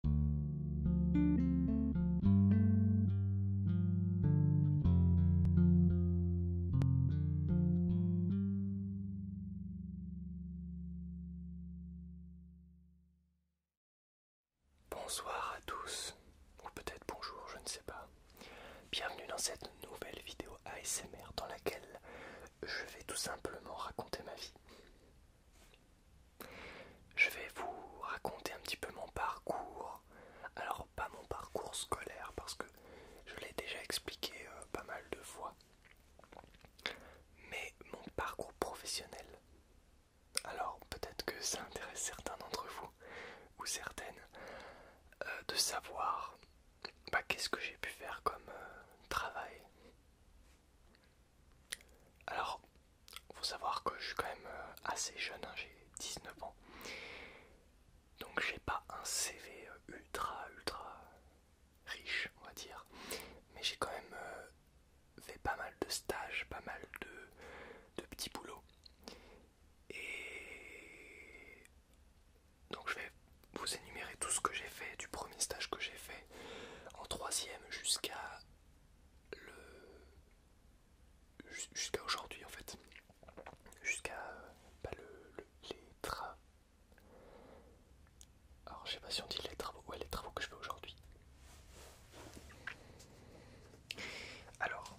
Bonsoir à tous, ou peut-être bonjour, je ne sais pas. Bienvenue dans cette nouvelle vidéo ASMR dans laquelle je vais tout simplement raconter ma vie. Je vais vous raconter un petit peu mon parcours. Alors pas mon parcours scolaire parce que je l'ai déjà expliqué euh, pas mal de fois. Mais mon parcours professionnel. Alors peut-être que ça intéresse certains d'entre vous ou certaines euh, de savoir bah, qu'est-ce que j'ai pu faire comme euh, travail. Alors, faut savoir que je suis quand même euh, assez jeune, hein, j'ai 19 ans. Donc j'ai pas un CV euh, ultra ultra riche, on va dire. Mais j'ai quand même euh, fait pas mal de stages, pas mal de, de petits boulots. Et donc je vais vous énumérer tout ce que j'ai fait, du premier stage que j'ai fait en troisième jusqu'à le... jusqu'à aujourd'hui en fait, jusqu'à euh, pas le, les travaux. Alors je sais pas si on dit les travaux, ouais les travaux que je fais aujourd'hui. Alors,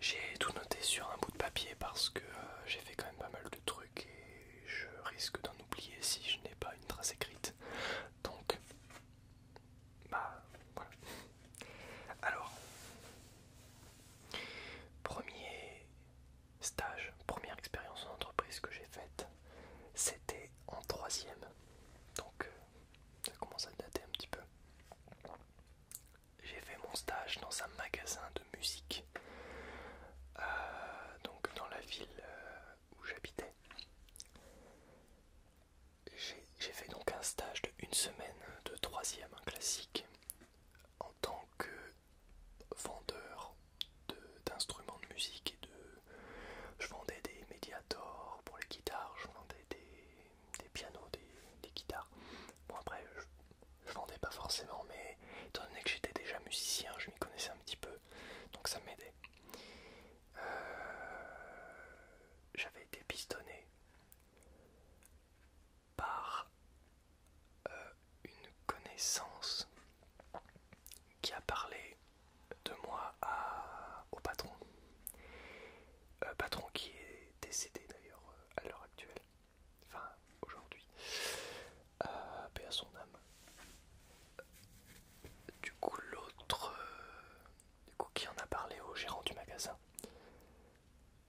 j'ai tout noté sur un bout de papier parce que euh, j'ai fait quand même pas mal de truc et je risque d'en oublier si je n'ai pas une trace écrite. Donc, bah voilà. Alors, premier stage, première expérience en entreprise que j'ai faite, c'était en troisième. Donc, euh, ça commence à dater un petit peu. J'ai fait mon stage dans un magasin de musique, euh, donc dans la ville euh, où j'habitais. J'ai fait donc un stage de une semaine de troisième classique en tant que vendeur d'instruments de, musique et de je vendais des médiators pour les guitares, je vendais des, pianos, des, guitares. Bon après je, je vendais pas forcément mais étant donné que j'étais déjà musicien, je m'y connaissais un petit peu, donc ça m'aidait. Euh, j'avais été pistonné par euh, une connaissance qui a parlé de moi au patron. Euh, patron qui est décédé d'ailleurs à l'heure actuelle, enfin aujourd'hui à euh, paix à son âme. Du coup, l'autre, euh, du coup, qui en a parlé au gérant du magasin.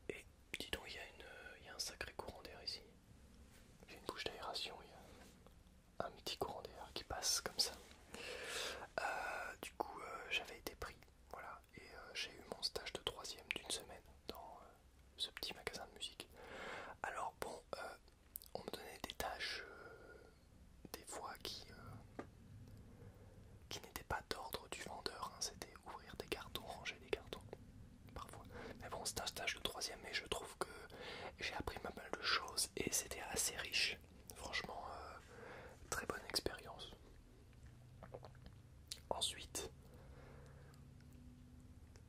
Et dis donc, il y, euh, y a un sacré courant d'air ici. J'ai une bouche d'aération, il y a un petit courant d'air qui passe comme ça. du coup, j'avais été pris, voilà, et j'ai eu mon stage de troisième d'une semaine dans ce petit magasin de musique. Alors bon, on me donnait des tâches euh, des fois qui, euh, qui n'étaient pas d'ordre du vendeur, hein. c'était ouvrir des cartons, ranger des cartons, parfois. Mais bon, c'était un stage de troisième et je trouve que j'ai appris pas mal de choses et c'était assez riche. Franchement, euh, très bonne expérience. Ensuite,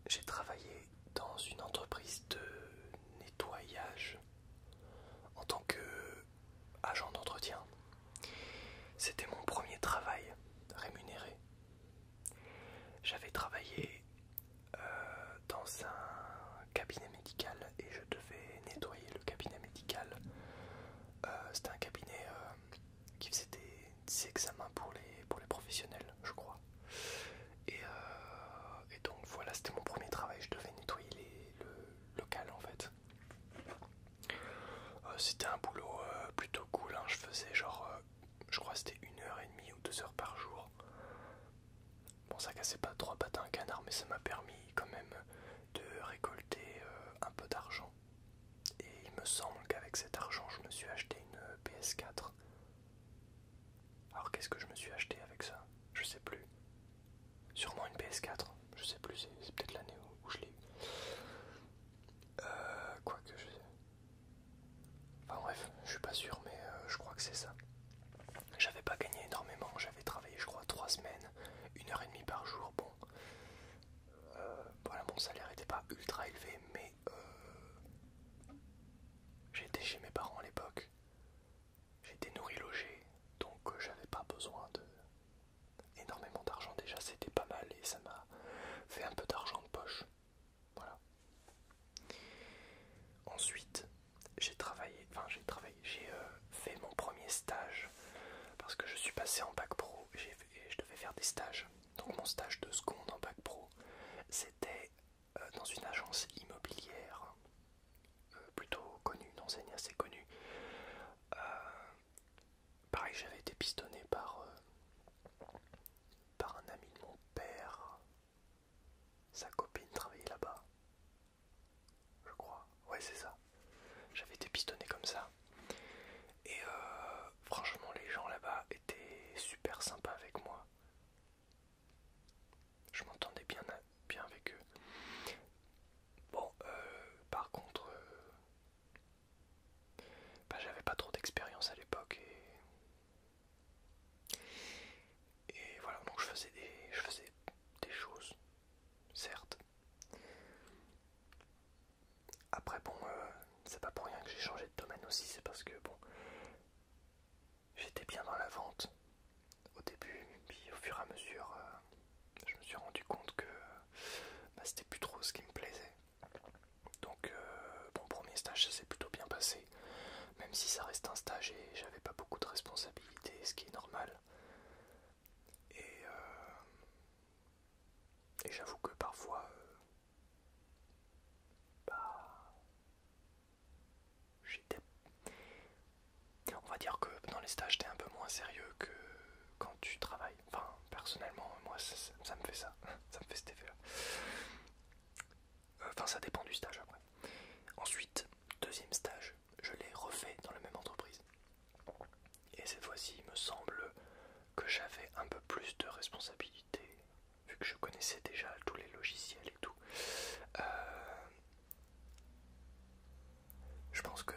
j'ai travaillé dans une entreprise de nettoyage en tant que agent d'entretien. C'était mon premier travail rémunéré. J'avais travaillé euh, dans un cabinet médical et je devais nettoyer le cabinet médical. Euh, c'était un cabinet euh, qui faisait des, examens pour les, pour les professionnels, je crois. Euh, et, donc voilà, c'était mon premier travail, je devais nettoyer le local en fait. Euh, c'était un boulot euh, plutôt cool, hein. je faisais genre, je crois c'était une heure et demie ou deux heures par jour. Bon ça cassait pas trois pattes à un canard mais ça m'a permis quand même de récolter un peu d'argent. Et il me semble qu'avec cet argent je me suis acheté une PS4. Alors qu'est-ce que je me suis acheté avec ça Je sais plus. Sûrement une PS4, je sais plus, c'est peut-être l'année où, je l'ai eu. Euh, quoi que je... Enfin bref, je suis pas sûr, mais euh, je crois que c'est ça. J'avais pas gagné énormément, j'avais travaillé je crois 3 semaines, une heure et demie par jour, bon. Euh, voilà, mon salaire était pas ultra élevé, mais euh, J'étais chez mes parents à l'époque. J'étais nourri logé, donc euh, j'avais pas besoin de énormément d'argent déjà, c'était pas mal et ça m'a fait un peu d'argent de poche. Voilà. Ensuite, j'ai travaillé, enfin j'ai travaillé, j'ai euh, fait mon premier stage parce que je suis passé en bac pro et je devais faire des stages. Donc mon stage de seconde en bac pro, c'était euh, dans une agence immobilière euh, plutôt connue, une enseigne assez connue. Euh, pareil, j'avais été pistonné par, par un ami de mon père. Sa copine travaillait là-bas. Je crois. Ouais, c'est ça. J'avais été pistonné comme ça. Et franchement, les gens là-bas étaient super sympas avec moi. Je m'entendais bien, bien avec eux. Bon, euh, par contre, euh, bah, j'avais pas trop d'expérience à l'époque et, voilà, donc je faisais des, je faisais des choses, certes. Après, bon, euh, c'est pas pour rien que j'ai changé domaine aussi, c'est parce que bon, j'étais bien dans la vente au début, puis au fur et à mesure, euh, je me suis rendu compte que bah, c'était plus trop ce qui me plaisait. Donc, euh, mon bon, premier stage, ça s'est plutôt bien passé, même si ça reste un stage et j'avais pas beaucoup de responsabilités, ce qui est normal. Et, euh, j'avoue que parfois, bah, On va dire que dans les stages, t'es un peu moins sérieux que quand tu travailles. Enfin, personnellement, moi, ça, me fait ça. ça me fait cet effet-là. Euh, enfin, ça dépend du stage après. Ensuite, deuxième stage, je l'ai refait dans la même entreprise. Et cette fois-ci, il me semble que j'avais un peu plus de responsabilité vu que je connaissais déjà tous les logiciels et tout, euh, je pense que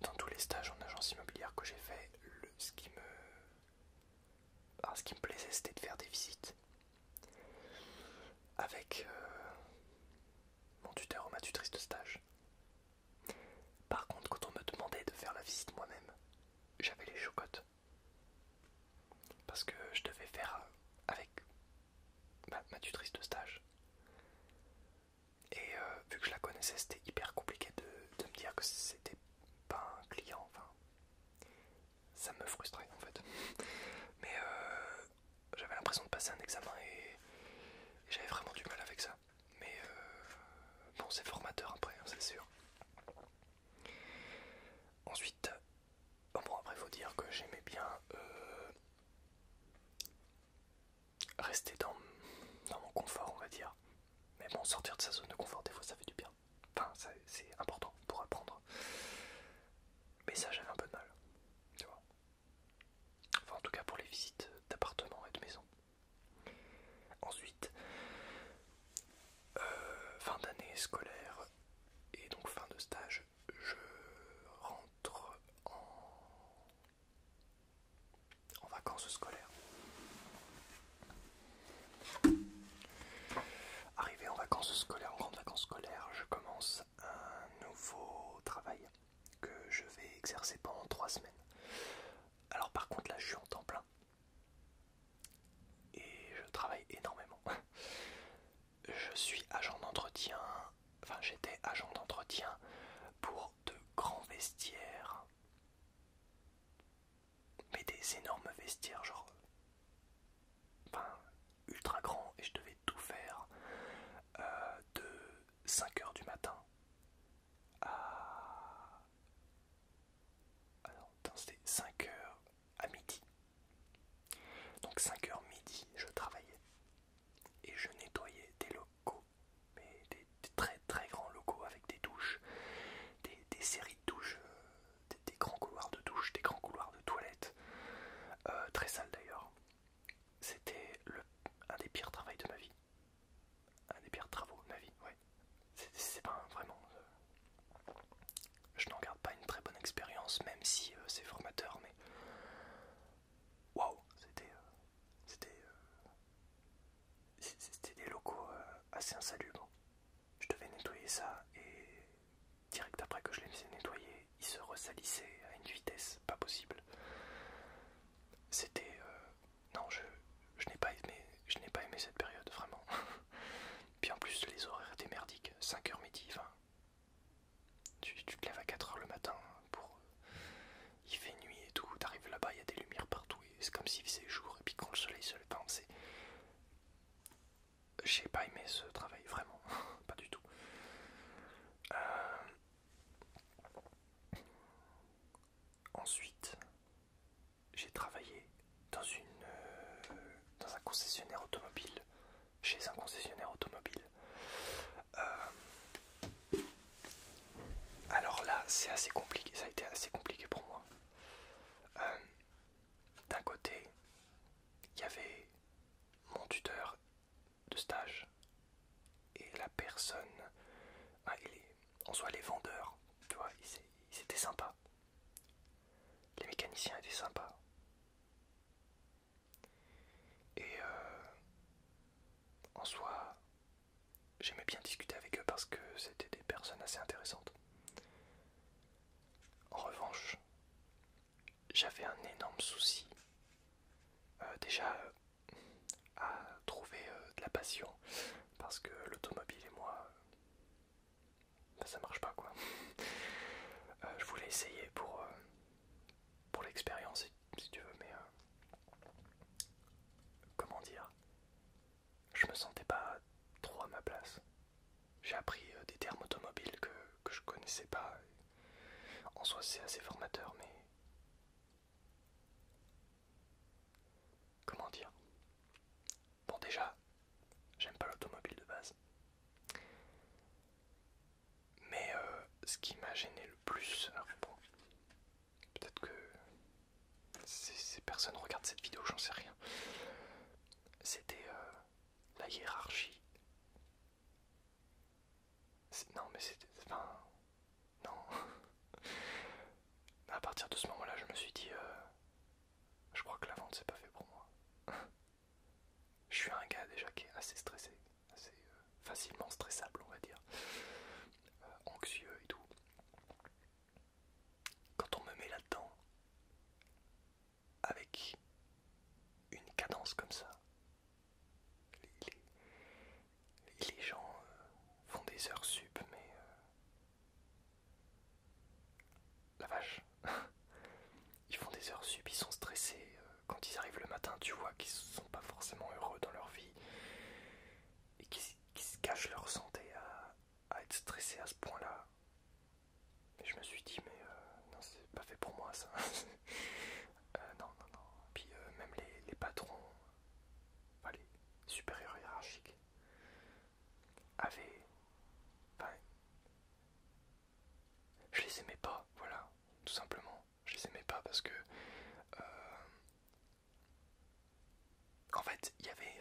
dans tous les stages en agence immobilière que j'ai fait, ce qui me ce qui me plaisait, c'était de faire des visites avec euh, mon tuteur ou ma tutrice de stage. Par contre, quand on me demandait de faire la visite moi-même, j'avais les chocottes. Parce que je devais faire avec ma, tutrice de stage. Et euh, vu que je la connaissais, c'était hyper compliqué de, me dire que c'était pas un client. Enfin, ça me frustrait en fait. Mais euh, j'avais l'impression de passer un examen et, j'avais vraiment du mal avec ça. Mais euh, bon, c'est formateur après, hein, c'est sûr. Ensuite, euh, bon après faut dire que j'aimais bien euh, rester dans, dans mon confort on va dire. Mais bon sortir de sa zone de confort des fois ça fait du bien. Enfin c'est important pour apprendre. Mais ça j'avais un peu de mal. Tu vois. Enfin en tout cas pour les visites d'appartements et de maisons. Ensuite, euh, fin d'année scolaire et donc fin de stage, je rentre en, en vacances scolaires. Arrivé en vacances scolaires, en grandes vacances scolaires, je commence un nouveau travail que je vais exercer pendant trois semaines. Alors par contre là je suis en temps plein, et je travaille énormément. Je suis agent d'entretien, enfin j'étais agent d'entretien pour de grands vestiaires, mais des énormes vestiaires, genre enfin, ultra grands, et je devais tout faire euh, de 5h du matin ah. Alors, c'était 5h à midi. Donc 5h midi, je travaillais. Et je nettoyais des locaux, mais des, très très grands locaux avec des douches, des, séries de douches, euh, des, grands couloirs de douches, des grands couloirs de toilettes. Euh, très sales d'ailleurs. C'était un des pires travails de ma vie un des pires travaux de ma vie, ouais. C'est pas vraiment. Euh, je n'en garde pas une très bonne expérience, même si euh, c'est formateur, mais. Waouh, c'était. Euh, c'était. c'était des locaux assez insalubres. Je devais nettoyer ça et. Direct après que je les faisais nettoyer, ils se ressalissait à une vitesse pas possible. C'était non, je, je n'ai pas aimé, je n'ai pas aimé cette période vraiment. Puis en plus les horaires étaient merdiques, 5h midi, enfin, tu, tu te lèves à 4h le matin pour, il fait nuit et tout, t'arrives là-bas, il y a des lumières partout et c'est comme s'il faisait jour et puis quand le soleil se lève, hein, c'est, j'ai pas aimé ce travail vraiment, pas du tout. Euh, ensuite, j'ai travaillé dans, une, euh, dans un concessionnaire automobile, chez un concessionnaire automobile. Euh, alors là, c'est assez compliqué, ça a été assez compliqué pour moi. Euh, d'un côté, il y avait mon tuteur de stage et la personne, ah, en soi les vendeurs, tu vois, ils, étaient sympas. Les mécaniciens étaient sympas. Et euh, en soi, j'aimais bien discuter avec eux parce que c'était des personnes assez intéressantes. En revanche, j'avais un énorme souci. Euh, déjà, à trouver euh, de la passion parce que l'automobile et moi euh, ben, ça marche pas quoi euh, je voulais essayer pour pour l'expérience si, tu veux mais comment dire je me sentais pas trop à ma place j'ai appris des termes automobiles que, que je connaissais pas en soi c'est assez formateur mais Comment dire Bon déjà, j'aime pas l'automobile de base. Mais euh, ce qui m'a gêné le plus, alors peut-être que ces, personnes regardent cette vidéo, j'en sais rien. C'était euh, la hiérarchie. Non mais c'était... Enfin, non. À partir de ce moment-là, je me suis dit, euh, je crois que la vente, c'est pas fait pour moi. je suis un gars déjà qui est assez stressé, assez euh, facilement stressable, on va dire, euh, anxieux et tout. Quand on me met là-dedans, avec une cadence comme ça, les gens euh, font des heures sub, mais euh, la vache, ils font des heures sub, ils sont stressés. Euh, quand ils arrivent le matin, tu vois qu'ils sont pas forcément heureux dans leur vie et qu'ils se cachent leur santé à, être stressés à ce point-là. Et je me suis dit, mais non, c'est pas fait pour moi ça. non, non, non. Puis même les, patrons, les supérieurs hiérarchiques, avaient. Enfin, je les aimais pas, voilà, tout simplement. Je les aimais pas parce que. Euh, en fait, il y avait.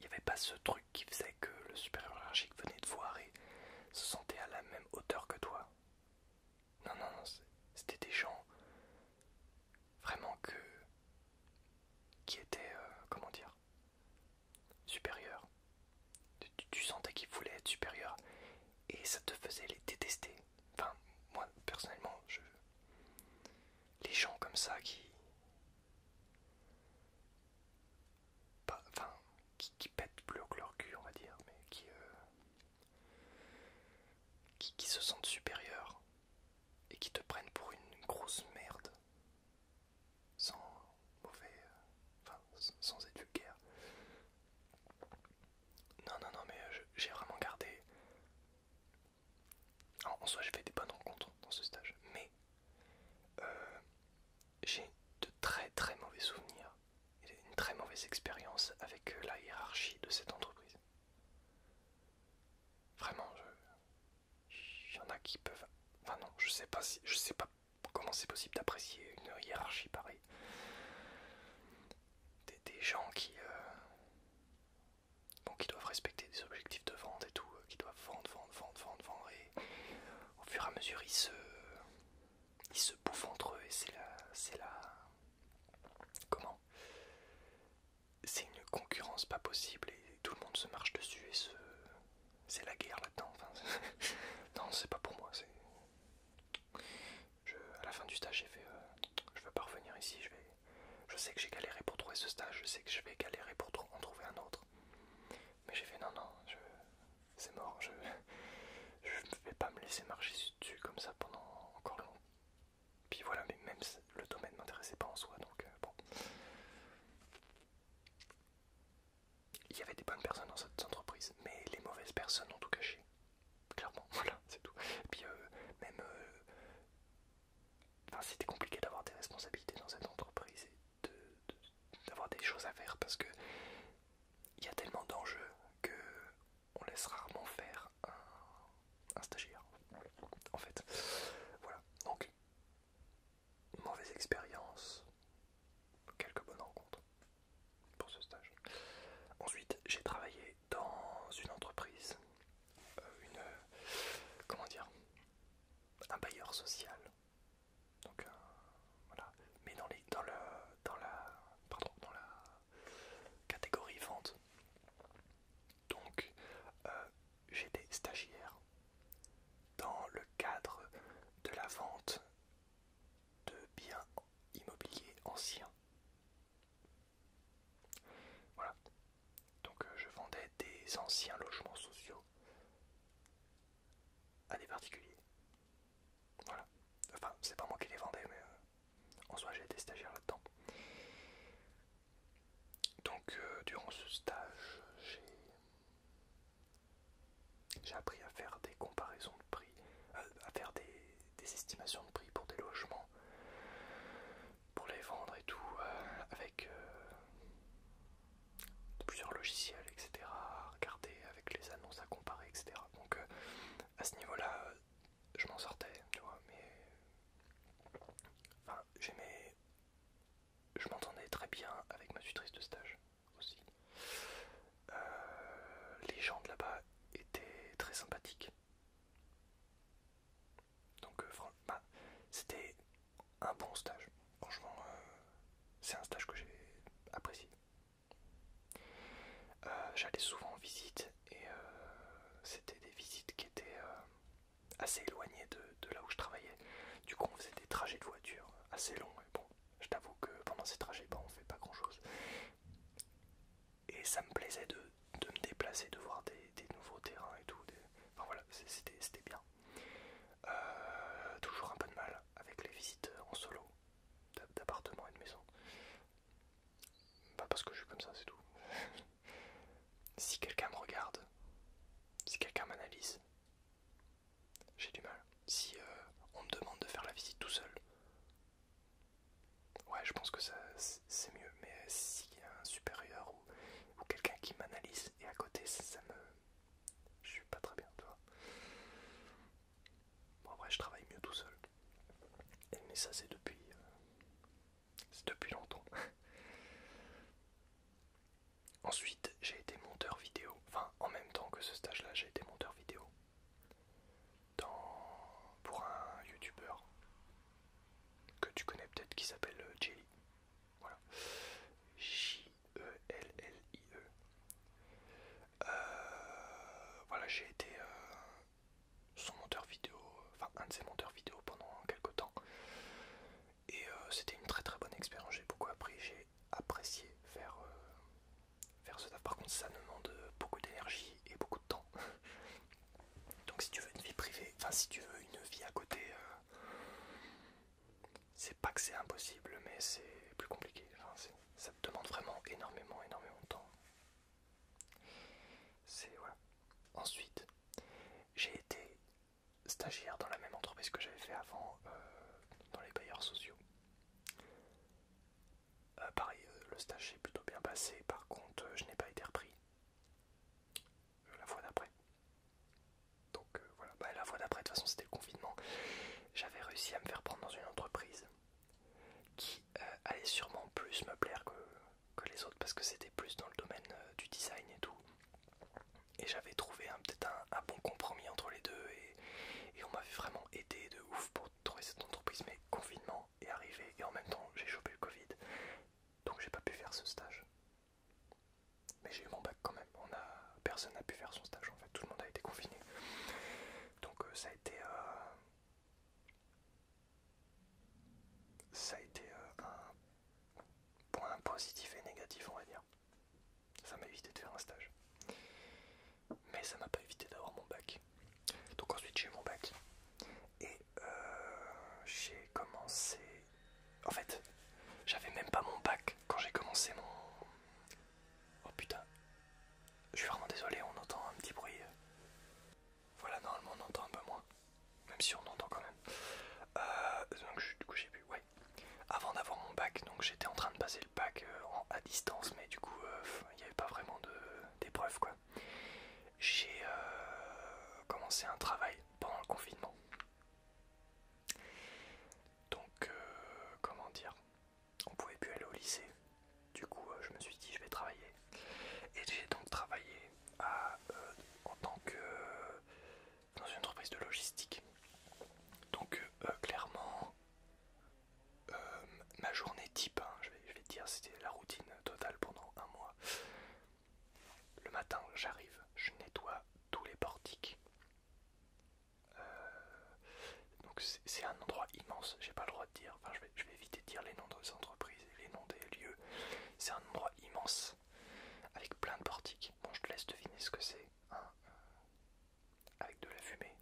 Il n'y avait pas ce truc qui faisait que le supérieur hiérarchique venait te voir et se sentait à la même hauteur que toi. Non, non, non, c'était des gens vraiment que qui était euh, comment dire supérieur tu, sentais qu'ils voulaient être supérieurs. et ça te faisait les détester enfin moi personnellement je les gens comme ça qui enfin qui, pètent plus haut que leur cul on va dire mais qui, euh, qui se sentent supérieurs et qui te prennent pour une grosse merde sans mauvais euh, enfin sans être vulgaire non non non mais euh, j'ai vraiment gardé en, soi j'ai fait des bonnes rencontres dans ce stage mais euh, j'ai de très très mauvais souvenirs et une très mauvaise expérience avec la hiérarchie de cette entreprise Vraiment, je... il y en a qui peuvent. Enfin non, je sais pas si, je sais pas comment c'est possible d'apprécier une hiérarchie pareille. Des, gens qui, euh, bon, qui doivent respecter des objectifs de vente et tout, euh, qui doivent vendre, vendre, vendre, vendre, vendre, et au fur et à mesure ils se, ils se bouffent entre eux et c'est la, c'est la, comment c'est une concurrence pas possible et tout le monde se marche dessus et ce c'est la guerre là-dedans. Enfin, non, c'est pas pour moi. Je... À la fin du stage, j'ai fait euh, je veux pas revenir ici. Je, vais... je sais que j'ai galéré pour trouver ce stage, je sais que je vais galérer pour en trouver un autre. Mais j'ai fait non, non, c'est mort. Je... ne vais pas me laisser marcher dessus comme ça pendant encore longtemps. » Puis voilà, mais même le domaine ne m'intéressait pas en soi, donc euh, bon. Il y avait des bonnes personnes dans cette entreprise, mais les mauvaises personnes ont tout caché. Clairement, voilà, c'est tout. Et puis euh, même... Euh, enfin, c'était compliqué d'avoir des responsabilités dans cette entreprise et d'avoir de, des choses à faire parce que il y a tellement d'enjeux que on laisse rarement faire un, stagiaire. En fait, voilà. Donc, mauvaise expérience, quelques bonnes rencontres pour ce stage. Ensuite, j'ai travaillé dans une entreprise, euh, une comment dire, un bailleur social. Donc euh, voilà, mais dans les dans le dans la pardon, dans la catégorie vente. Donc euh, j'étais stagiaire dans le cadre de la vente de biens immobiliers anciens. Voilà. Donc euh, je vendais des anciens logements sociaux à des particuliers. Voilà. Enfin, c'est pas moi qui les vendais, mais euh, en soi, j'ai été stagiaire là-dedans. Donc, euh, durant ce stage, j'ai appris à faire des comparaisons de prix, euh, à faire des, estimations de prix pour des logements, pour les vendre et tout, euh, avec plusieurs logiciels, etc. À regarder avec les annonces à comparer, etc. Donc, à ce niveau-là, euh, je m'en sortais, tu vois, mais. Enfin, j'aimais. Je m'entendais très bien avec ma tutrice de stage aussi. Euh, les gens de là-bas étaient très sympathiques. Donc, euh, bah, c'était un bon stage. Franchement, c'est un stage que j'ai apprécié. Euh, j'allais souvent en visite et euh, c'était des visites qui étaient euh, assez éloignées de, là où je travaillais. Du coup, on faisait des trajets de voiture assez longs. Et bon, je t'avoue que pendant ces trajets, on bah, on fait pas grand chose. Et ça me plaisait de, me déplacer, de voir des, nouveaux terrains et tout. Enfin voilà, c'était bien. toujours un peu de mal avec les visites en solo d'appartements et de maisons. Pas bah, parce que je suis comme ça, c'est tout. si quelqu'un me regarde, si quelqu'un m'analyse, j'ai du mal. Si euh, on me demande de faire la visite tout seul, ouais, je pense que ça c'est mieux. Mais euh, s'il y a un supérieur ou, quelqu'un qui m'analyse et à côté, ça, me. Je suis pas très bien, tu vois. Bon, je travaille mieux tout seul mais ça c'est depuis, euh, c'est depuis longtemps. Ensuite j'ai été monteur vidéo, enfin en même temps que ce stage là j'ai été monteur vidéo dans, pour un youtubeur que tu connais peut-être qui s'appelle euh, Jelly. Voilà. J-E-L-L-I-E. E. Euh, voilà, j'ai été son monteur vidéo, enfin un de ses monteurs vidéo pendant quelques temps. Et euh, c'était une très très bonne expérience, j'ai beaucoup appris, j'ai apprécié faire, euh, ce taf. Par contre ça demande beaucoup d'énergie et beaucoup de temps. Donc si tu veux une vie privée, enfin si tu veux une vie à côté, euh, c'est pas que c'est impossible, mais c'est plus compliqué. ça te demande vraiment énormément, énormément de temps. C'est voilà. Ensuite, j'ai été stagiaire dans la même entreprise que j'avais fait avant euh, dans les bailleurs sociaux. Euh, pareil, euh, le stage s'est plutôt bien passé, par contre je n'ai pas été repris la fois d'après. Donc voilà, bah, la fois d'après de toute façon c'était le confinement. J'avais réussi à me faire prendre dans une entreprise qui euh, allait sûrement plus me plaire que, les autres parce que c'était plus dans le domaine euh, du design et tout. Et j'avais trouvé peut-être un, bon compromis entre les deux et, on m'avait vraiment aidé de ouf pour trouver cette entreprise. Mais confinement est arrivé et en même temps j'ai chopé le Covid donc j'ai pas pu faire ce stage. Mais j'ai eu mon bac quand même. On a, personne n'a pu faire son stage en fait, tout le monde a été confiné. Donc euh, ça a été ça a été euh, un point positif et négatif, on va dire. Ça m'a évité de faire un stage. Mais ça m'a pas évité d'avoir mon bac. Donc ensuite j'ai mon bac. Et euh, j'ai commencé... En fait, j'avais même pas mon bac quand j'ai commencé mon... Oh putain, je suis vraiment désolé, on entend un petit bruit. Voilà, normalement on entend un peu moins. Même si on entend quand même. Euh, du coup j'ai pu, ouais. Avant d'avoir mon bac, donc j'étais en train de passer le bac euh, à distance, mais du coup euh, il n'y avait pas vraiment d'épreuve quoi. J'ai commencé un travail pendant le confinement. Donc comment dire on pouvait plus aller au lycée. Du coup, euh, je me suis dit, je vais travailler. Et j'ai donc travaillé euh, en tant que euh, dans une entreprise de logistique. Donc clairement, ma journée type, hein, je, vais, te dire, c'était la routine totale pendant un mois. Le matin, j'arrive, je nettoie tous les portiques. Donc c'est un endroit immense, j'ai pas le droit de dire, enfin je vais, éviter de dire les noms des entreprises et les noms des lieux. C'est un endroit immense, avec plein de portiques. Bon je te laisse deviner ce que c'est, hein, euh, avec de la fumée.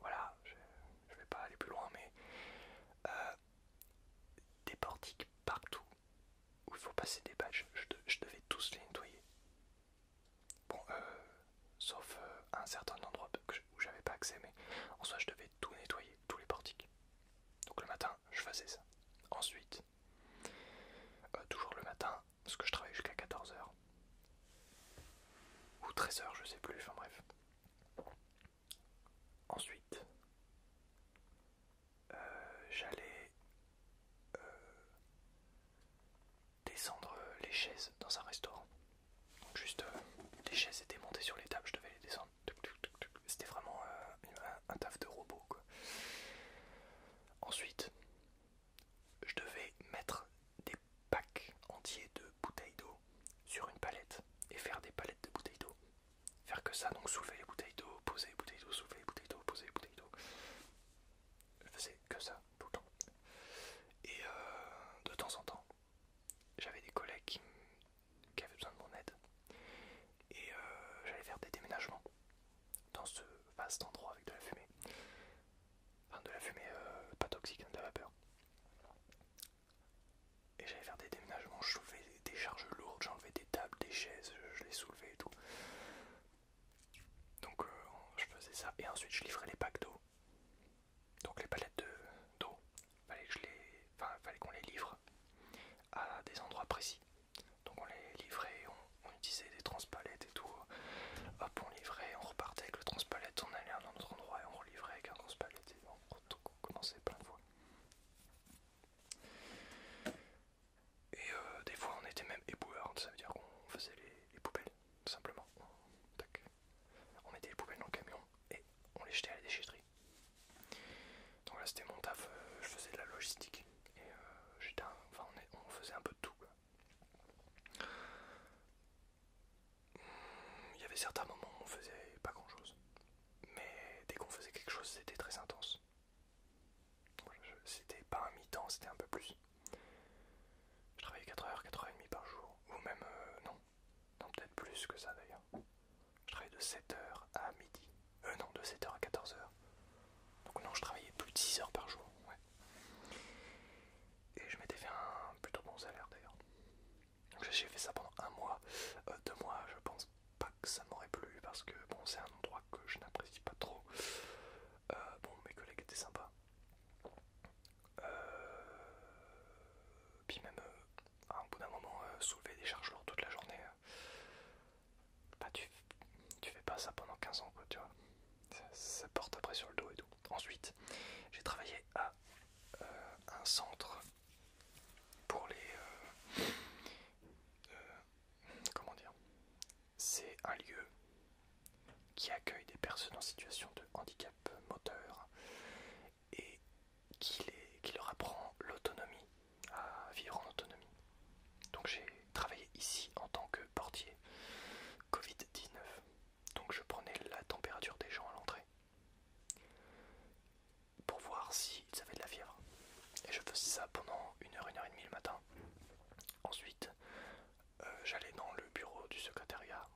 Voilà, je, vais pas aller plus loin, mais euh, des portiques partout où il faut passer des badges, je, devais tous les nettoyer. Bon, euh, sauf euh, un certain endroit où j'avais pas accès, mais en soit je devais tout nettoyer, tous les portiques. Donc le matin, je faisais ça. Ensuite, euh, toujours le matin, parce que je travaillais jusqu'à 14h. Ou 13h, je sais plus, enfin bref. Ensuite, euh, j'allais descendre euh, les chaises dans un restaurant. juste les euh, chaises étaient montées sur les tables, je devais les descendre. C'était vraiment euh, un, taf de robot quoi. Ensuite, je devais mettre des packs entiers de bouteilles d'eau sur une palette et faire des palettes de bouteilles d'eau. Faire que ça, donc soulever les bouteilles d'eau, poser les bouteilles d'eau, soulever les bouteilles d'eau, poser les bouteilles d'eau. Je faisais que ça tout le temps. Et de temps en temps, j'avais des collègues qui, avaient besoin de mon aide et euh, j'allais faire des déménagements dans ce vaste endroit avec de la fumée. Enfin, de la fumée euh, pas toxique, hein, de la vapeur. Et j'allais faire des déménagements, je soulevais des charges lourdes, j'enlevais des tables, des chaises, je, les soulevais et tout. Donc euh, je faisais ça et ensuite je livrais les packs d'eau donc les palettes d'eau, il fallait qu'on les, livre à des endroits précis. Donc on les livrait, on, utilisait des transpalettes et tout. Hop, on livrait, on repartait avec le transpalette, on allait à un autre endroit et on relivrait avec un transpalette et on commençait plein de fois. Et euh, des fois on était même éboueur, ça veut dire qu'on faisait les, poubelles, tout simplement. On mettait les poubelles dans le camion et on les jetait à la déchetterie. Donc là c'était mon taf, euh, je faisais de la logistique et euh, on, faisait un peu de tout. Il y avait certains moments où on faisait pas grand chose, mais dès qu'on faisait quelque chose c'était très intense. C'était pas un mi-temps, c'était un peu plus. Je travaillais 4 h 4 4h30 par jour, ou même euh, non, non peut-être plus que ça d'ailleurs. Je travaillais de 7h à midi, euh non, de 7h à 14h. Donc non, je travaillais plus de 6 h par jour, ouais. Et je m'étais fait un plutôt bon salaire d'ailleurs. J'ai fait ça pendant un mois, euh, deux mois, je pense pas que ça m'aurait plu parce que bon, c'est un endroit que je n'apprécie pas trop. Euh, bon, mes collègues étaient sympas. Euh, puis même, au euh, à un bout d'un moment, euh, soulever des charges lourdes toute la journée, bah, tu, tu fais pas ça pendant 15 ans, quoi, tu vois. Ça, porte après sur le dos et tout. Ensuite, j'ai travaillé à un centre pour les... comment dire C'est un lieu qui accueille des personnes en situation de handicap moteur et qui, qui leur apprend l'autonomie, à vivre en autonomie. Donc j'ai travaillé ici en tant que portier Covid-19. Donc je prenais la température des gens à l'entrée pour voir s'ils avaient de la fièvre. Et je faisais ça pendant une heure, une heure et demie le matin. Ensuite, euh, j'allais dans le bureau du secrétariat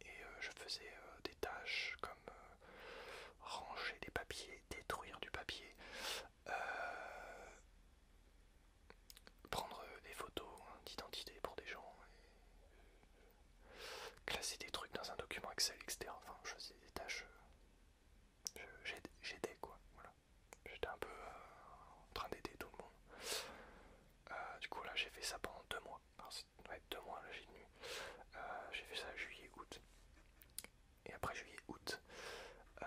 et euh, je faisais euh, des tâches comme euh, ranger des papiers, détruire du papier, prendre des photos hein, d'identité pour des gens, classer des trucs dans un document Excel, etc. Enfin, je faisais des tâches, j'aidais quoi, voilà. J'étais un peu en train d'aider tout le monde. Euh, du coup là j'ai fait ça pendant deux mois. deux mois j'ai euh, j'ai fait ça juillet, août. Et après juillet, août, euh,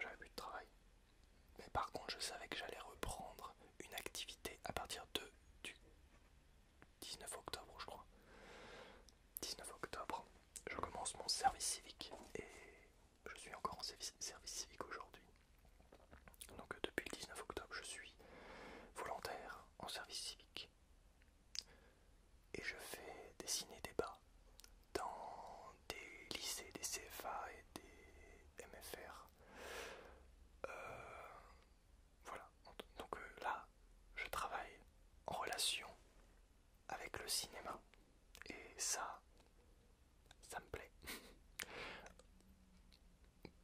j'avais plus de travail. Mais par contre je savais que j'allais reprendre une activité à partir de, du 19 octobre je crois. 19 octobre, je commence mon service civique et je suis encore en service, civique aujourd'hui. Donc euh, depuis le 19 octobre, je suis volontaire en service civique. Et je fais des ciné-débats dans des lycées, des CFA et des MFR. Euh, voilà, donc euh, là, je travaille en relation avec le cinéma. Et ça, ça me plaît.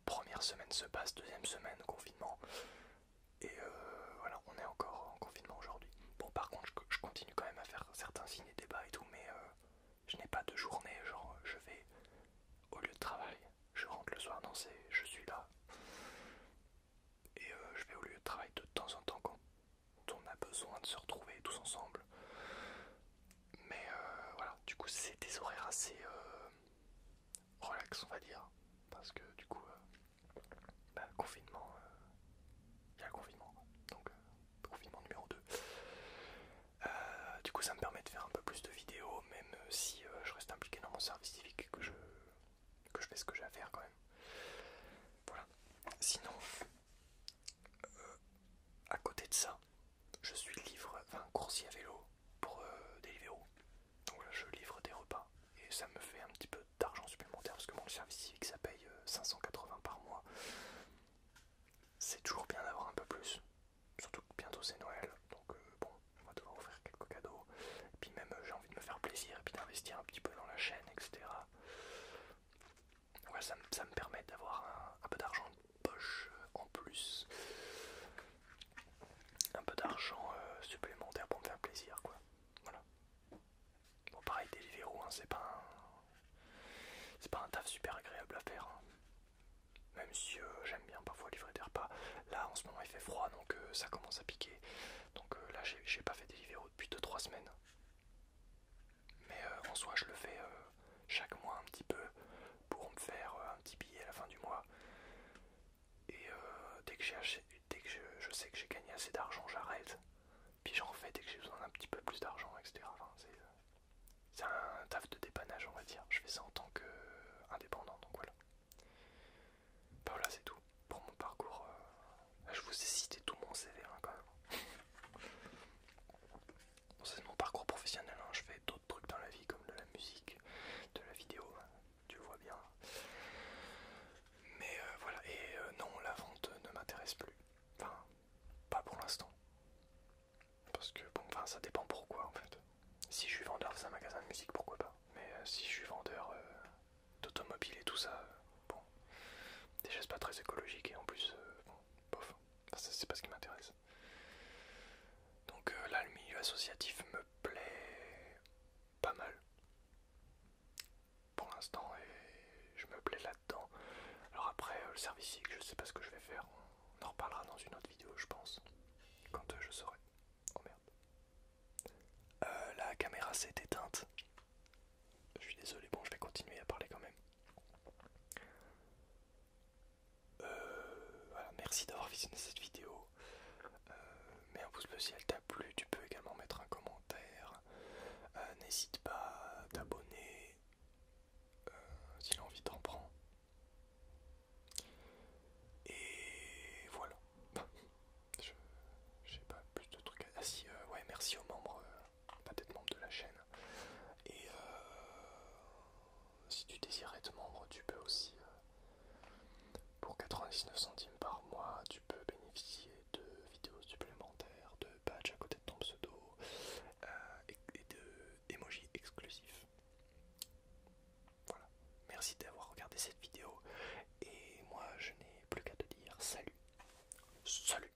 Première semaine se passe, deuxième semaine confinement. Et euh, voilà, on est encore en confinement aujourd'hui. Bon, par contre, je, continue quand même à faire certains ciné débats et tout, mais euh, je n'ai pas de journée. Genre, je vais au lieu de travail, je rentre le soir. Non, c'est je suis là. Et euh, je vais au lieu de travail de temps en temps quand on a besoin de se retrouver tous ensemble. Mais euh, voilà, du coup, c'est des horaires assez euh, relax, on va dire. Parce que du coup, euh, bah, confinement, il y a le confinement, donc confinement numéro 2. du coup, ça me permet de faire un peu plus de vidéos, même si je reste impliqué dans mon service civique, que je, que je fais ce que j'ai à faire quand même. Voilà. Sinon, euh, à côté de ça, je suis livre, enfin coursier à vélo pour des euh, Deliveroo. Donc là, je livre des repas et ça me fait un petit peu d'argent supplémentaire parce que mon service civique ça paye 580 euh, par mois. C'est toujours bien d'avoir un peu plus, surtout que bientôt c'est Noël, donc bon, on va devoir offrir quelques cadeaux. Et puis même, j'ai envie de me faire plaisir et puis d'investir un petit peu dans la chaîne, etc ça, me, permet d'avoir un, peu d'argent de poche euh, en plus. Un peu d'argent euh, supplémentaire pour me faire plaisir quoi. Voilà. Bon pareil des hein, c'est pas un... pas un taf super agréable à faire. Hein. Même si euh, j'aime bien parfois livrer des repas. Là en ce moment il fait froid donc ça commence à piquer. Donc là j'ai pas fait Deliveroo depuis 2-3 semaines. Mais euh, en soi, je le fais euh, chaque mois un petit peu pour me faire euh, un petit billet à la fin du mois. Et dès que, que je, sais que j'ai gagné assez d'argent, j'arrête. Puis j'en refais dès que j'ai besoin d'un petit peu plus d'argent, etc. c'est un taf de dépannage, on va dire. Je fais ça en tant qu'indépendant, donc voilà. bah voilà, c'est tout pour mon parcours. je vous ai cité tout mon CV hein, quand même c'est mon parcours professionnel, hein. je fais d'autres trucs dans la vie comme de la musique, de la vidéo, hein. tu vois bien. Mais euh, voilà, et euh, non, la vente ne m'intéresse plus. Enfin, pas pour l'instant. Parce que, bon, enfin, ça dépend pourquoi en fait. Si je suis vendeur dans un magasin de musique, pourquoi pas. Mais euh, si je suis vendeur d'automobile et tout ça, bon, déjà c'est pas très écologique et en plus, bof, enfin, c'est pas ce qui m'intéresse. Donc euh, là, le milieu associatif me plaît pas mal pour l'instant et je me plais là-dedans. Alors après, euh, le service je sais pas ce que je vais faire, on en reparlera dans une autre vidéo, je pense, quand euh, je saurai. Oh merde. la caméra s'est éteinte. Je suis désolé, bon, je vais continuer à parler quand même. Euh, voilà, merci d'avoir visionné cette vidéo. Euh, mets un pouce bleu si elle t'a plu. Tu peux également mettre un commentaire. Euh, n'hésite pas à t'abonner si l'envie t'en prend. Et voilà. Je sais pas plus de trucs Ah si, ouais, merci aux membres. Euh, pas d'être membre de la chaîne. Et euh, si tu désires être membre, tu peux aussi, euh, pour 99 centimes par mois, tu peux bénéficier de vidéos supplémentaires, de badges à côté de ton pseudo et, et de emojis exclusifs. Voilà, merci d'avoir regardé cette vidéo et moi je n'ai plus qu'à te dire salut. Salut